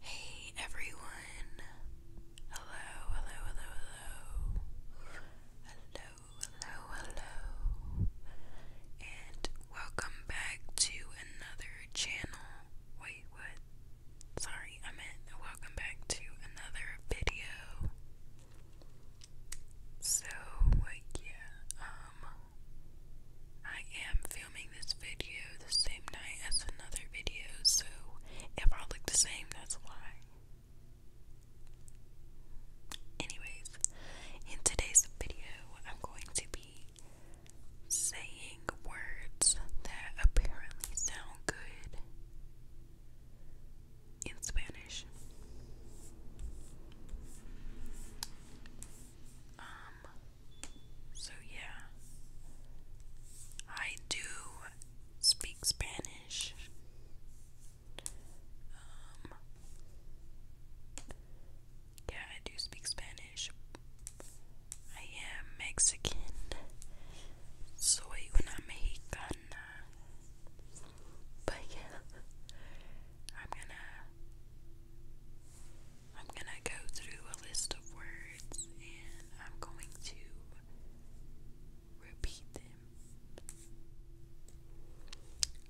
Hey everyone! Hello, hello, hello, hello. Hello, hello, hello. And welcome back to another channel. Wait, what? Sorry, I meant welcome back to another video. So, yeah, um, I am filming this video the same night as another video, so it all looked the same, that's why. Anyways, in today's video, I'm going to be saying words that apparently sound good in Spanish. Um, so yeah. I do speak Spanish. Um, yeah, I do speak Spanish. I am Mexican. Soy una mexicana. But yeah, I'm gonna I'm gonna go through a list of words and I'm going to repeat them.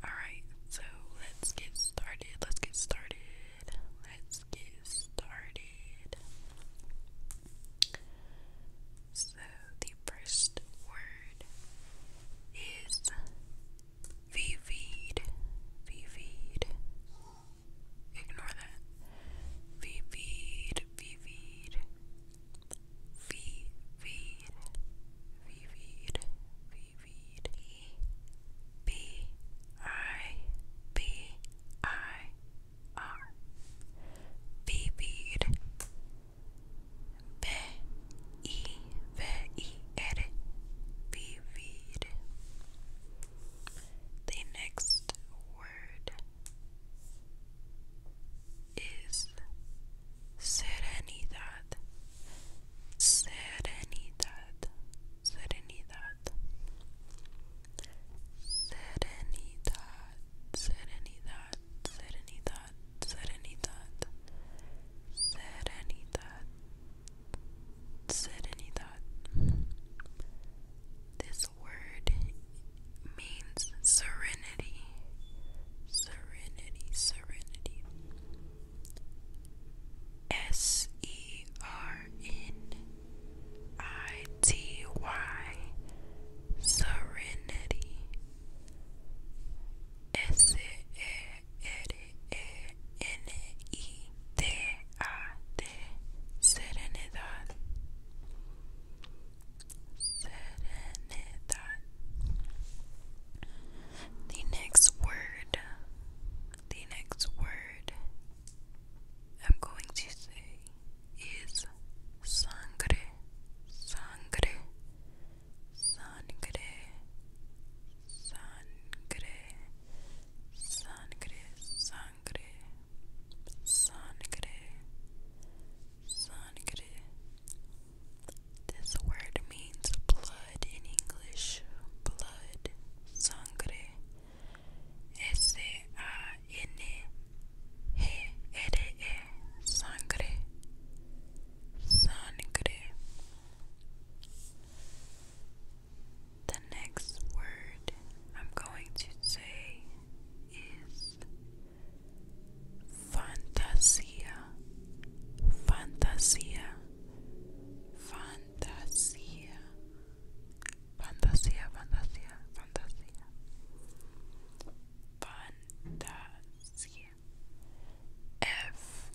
Alright, so let's get started. Let's get started. Let's get started. So, the first word is vivid, vivid, Ignore that. Vivid, vivid, vivid, vivid, vivid. vivid. B I B I R. Vivid. V I V I R. Vivid. The next word is serenidad. Serenidad. Serenidad. Serenidad. Serenidad. Serenidad. Serenidad. Serenidad. Serenidad said and he thought, this word means serenity. Serenity, serenity. S E R N I T Y. Serenity. S E R N E serenidad the next word the next word I'm going to say is sangre sangre sangre sangre sangre, sangre, This word means blood in English. Blood, sangre. S A N G R E, sangre, sangre. The next word I'm going to say is fantasia, fantasia, fantasia, fantasia, fantasia, fantasia, fantasia. F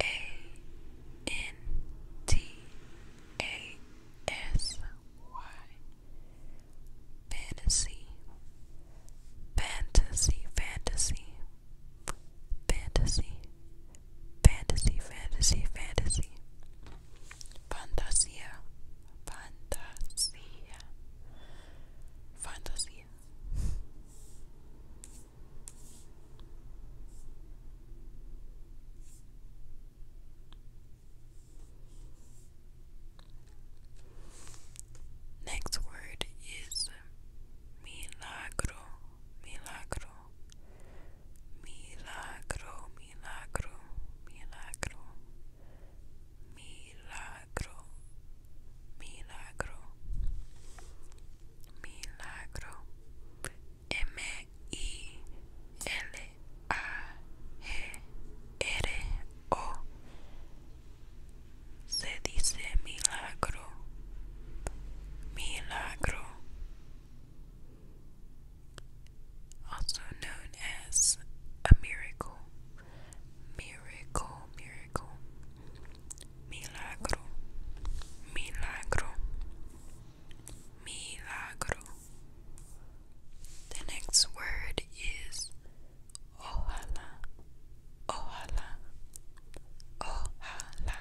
A N T a S Y Fantasy Fantasy Fantasy Fantasy Fantasy Fantasy Fantasy Fantasia Fantasia Next word is milagro, milagro, milagro, milagro, milagro, milagro, milagro, milagro, M-I-L-A-G-R-O se dice milagro, milagro, also known as a miracle, miracle, miracle, milagro, milagro. Milagro. The next word is ojalá, ojalá, ojalá,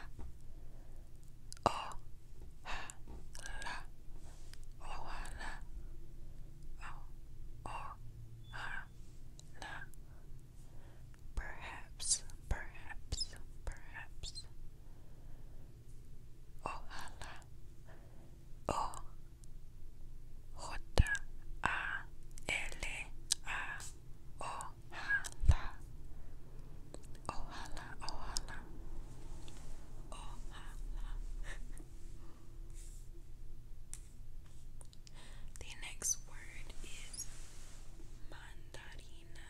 ojalá, ojalá, Perhaps, perhaps, perhaps, ohala o j a l a ohala ohala ohala ohala the next word is mandarina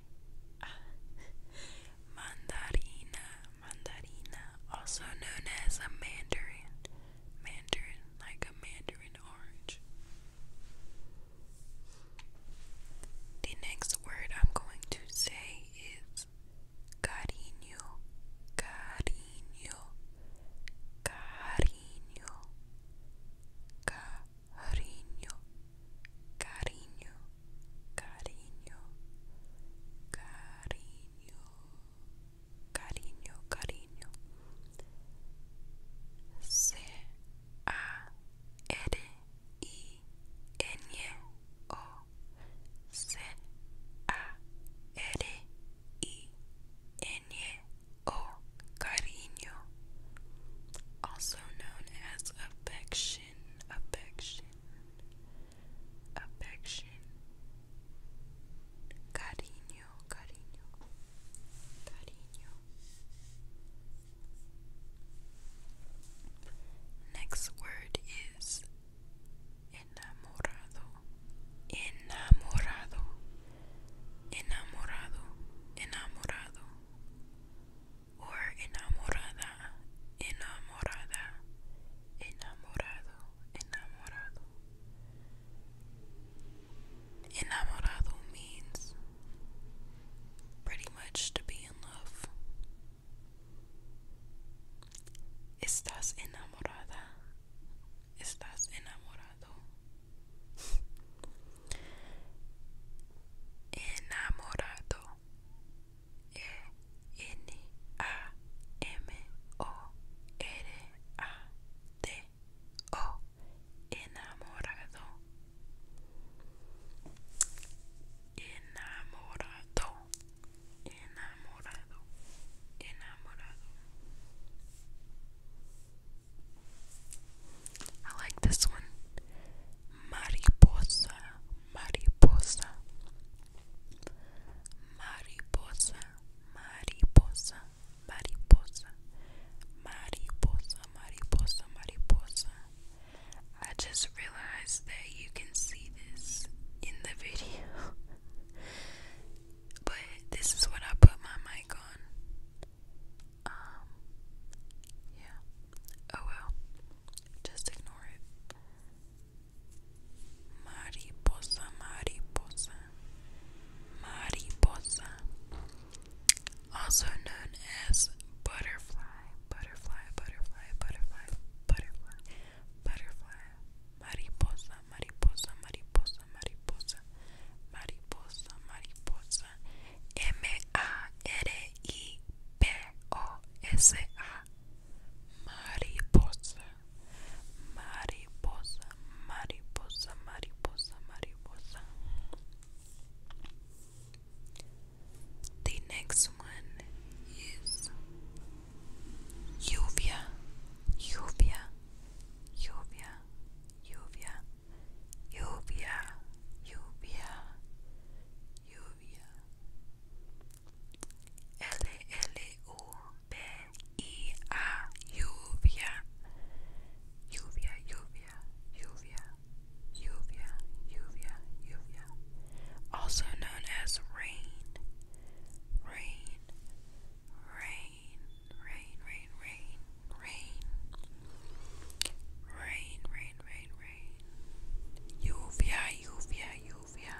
Mandarin, mandarina, also known as a mandarin, mandarin, like a mandarin orange. The next word I'm going to say is cariño, cariño, cariño, cariño. cariño, cariño, cariño, cariño, cariño, cariño. C A R I N e O C A R I N e O cariño also known as affection, affection, affection, cariño, cariño, cariño. Next word is enamorado, enamorado, enamorado, enamorado or enamorada, enamorada, enamorado, enamorado. Enamorado means pretty much to be in love. Estás enamorada. Estás enamorado enamorado e n a m o r a d o enamorado enamorado enamorado enamorado I like this one mariposa, mariposa, mariposa, mariposa, mariposa, mariposa, mariposa, mariposa. I just realized that you can see this in the video, but this is what I put my mic on. Um, yeah. Oh well. Just ignore it. Mariposa, mariposa. Mariposa. Also known as butterfly, butterfly, butterfly, butterfly, butterfly, butterfly. Mariposa, mariposa, mariposa, mariposa. Mariposa, mariposa. M A R M-A-R-I-B-O-S-A Mariposa Mariposa Mariposa Mariposa Mariposa The next one is Lluvia Lluvia Lluvia Lluvia lluvia, lluvia, lluvia. lluvia, lluvia, lluvia, lluvia, lluvia, lluvia, lluvia. Also known as rain, rain, rain, rain, rain, rain rain, rain, rain, rain, rain. Lluvia, lluvia, lluvia,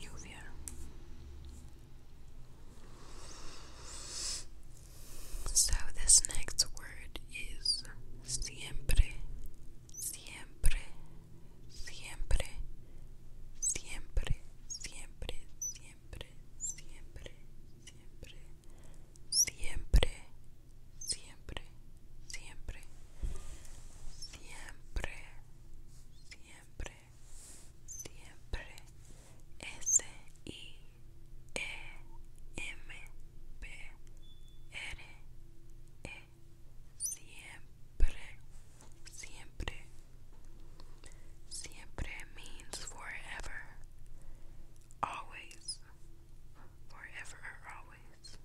lluvia. So this next word is siempre, siempre, siempre, siempre, siempre, siempre, siempre, siempre siempre, siempre, siempre, siempre, siempre, siempre, S I E M P R E siempre, siempre. Siempre means forever. Always, forever or always.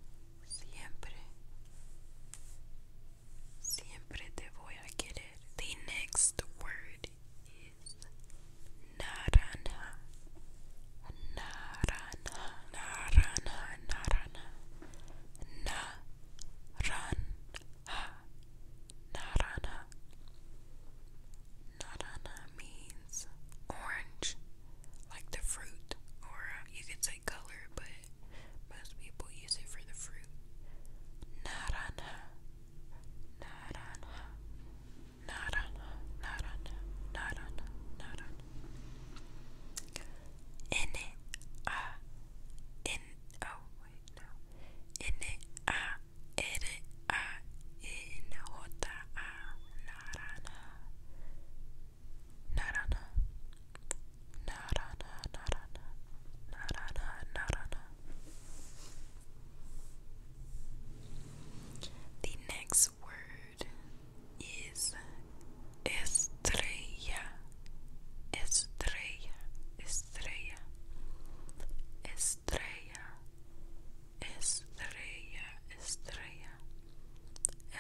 Siempre. Siempre te voy a querer. The next word is naranja. Naranja. Naranja. Naranja. Naranja. Naranja. Naranja means orange, like the fruit, or uh, you could say color, but most people use it for the fruit. Naranja, naranja, naranja, naranja, naranja, naranja. In it, ah, in, oh wait, no. In it, ah, in it, ah, in, hota, ah, naranja, naranja, naranja, naranja, naranja, naranja. The next word is estrella, estrella, estrella, estrella. estrella, estrella, estrella,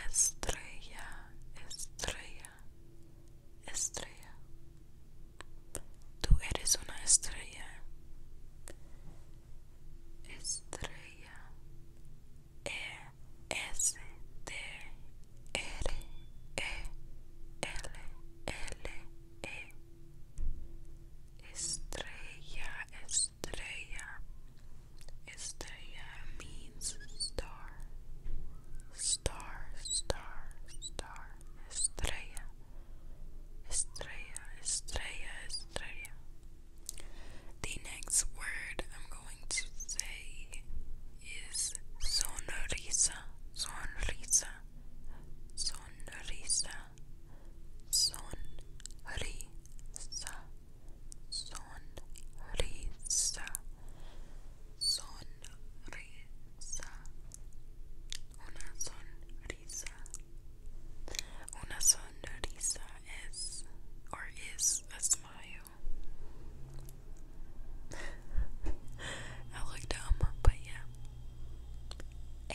estrella, estrella, estrella. Tú eres una estrella. Estrella. E S T R E L L E Estrella. estrella Estrella. Estrella means star. Star, star, star. Estrella. Estrella, estrella, estrella. The next word I'm going to say is sonrisa, sonrisa, sonrisa, sonrisa, sonrisa, sonrisa, una sonrisa, una sonrisa es or is a smile. I look dumb, but yeah.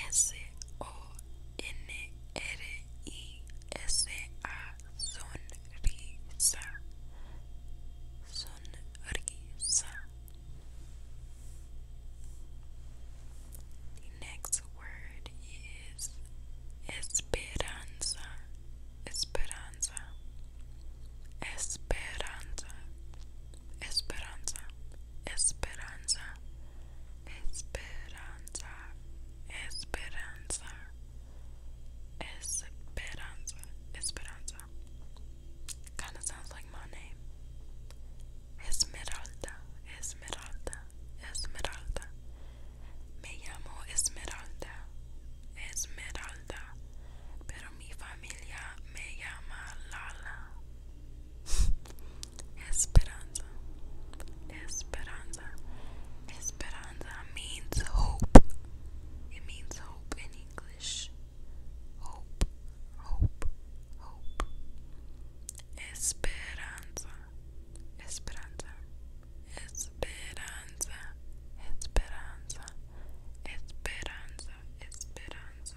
S O N R-I-S-A, sonrisa, sonrisa. The next word is esperanza, esperanza, esperanza, esperanza, esperanza, Esperanza, Esperanza, Esperanza, Esperanza. Kind of sounds like my name. Esmeralda, Esmeralda, Esmeralda. Me llamo Esmeralda, Esmeralda. Pero mi familia me llama Lala, Esperanza. Esperanza. Esperanza means hope. It means hope in English. Hope, hope, hope. Esperanza. Esperanza. Esperanza. Esperanza. Esperanza. Esperanza.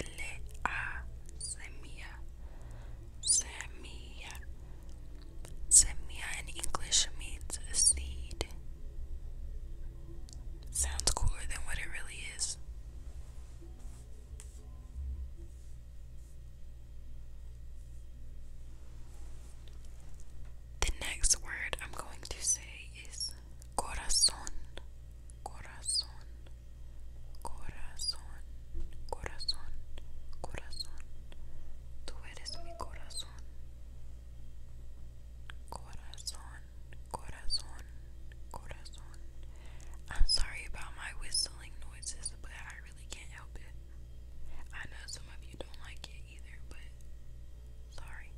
L-A, semilla, semilla. Semilla in English means a seed. Sounds cooler than what it really is. The next word I'm going to say is corazón, corazón, Corazón, corazón, corazón. Tú eres mi corazón. Corazón, corazón, corazón. I'm sorry about my whistling noises, but I really can't help it. I know some of you don't like it either, but sorry.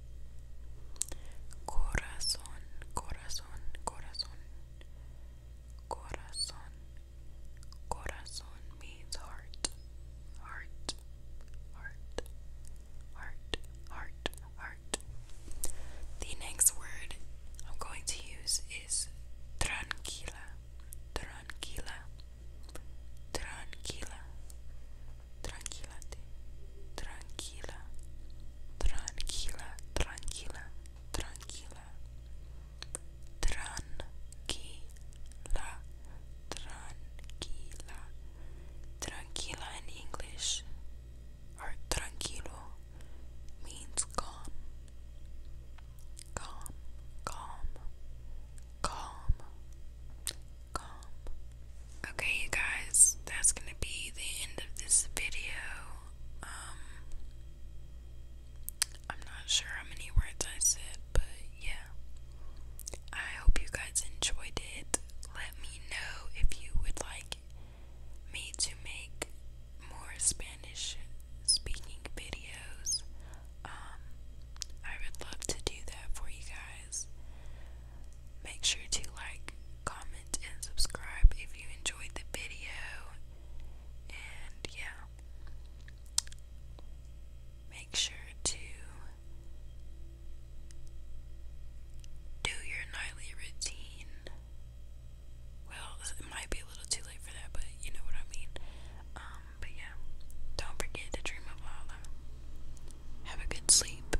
Corazón, corazón corazón, corazón, corazón, corazón means heart, heart, heart, heart, heart, heart. The next word I'm going to use is tranquila, tranquila, tranquila, tranquilate, tranquila tranquila, tranquila, tranquila, tranquila, tranquila, tranquila in English, or tranquilo means calm, calm, calm, calm, calm. Okay, you guys, that's gonna be the end of this video. Um, I'm not sure how many words I said, but yeah. I hope you guys enjoyed it. Let me know if you would like me to make more Spanish speaking videos. Um, I would love to do that for you guys. Make sure to like, comment, and subscribe if you enjoyed the video. And yeah, make sure to do your nightly routine. Well, it might be a little too late for that, but you know what I mean. Um, but yeah, don't forget to dream of Allah. Have a good sleep.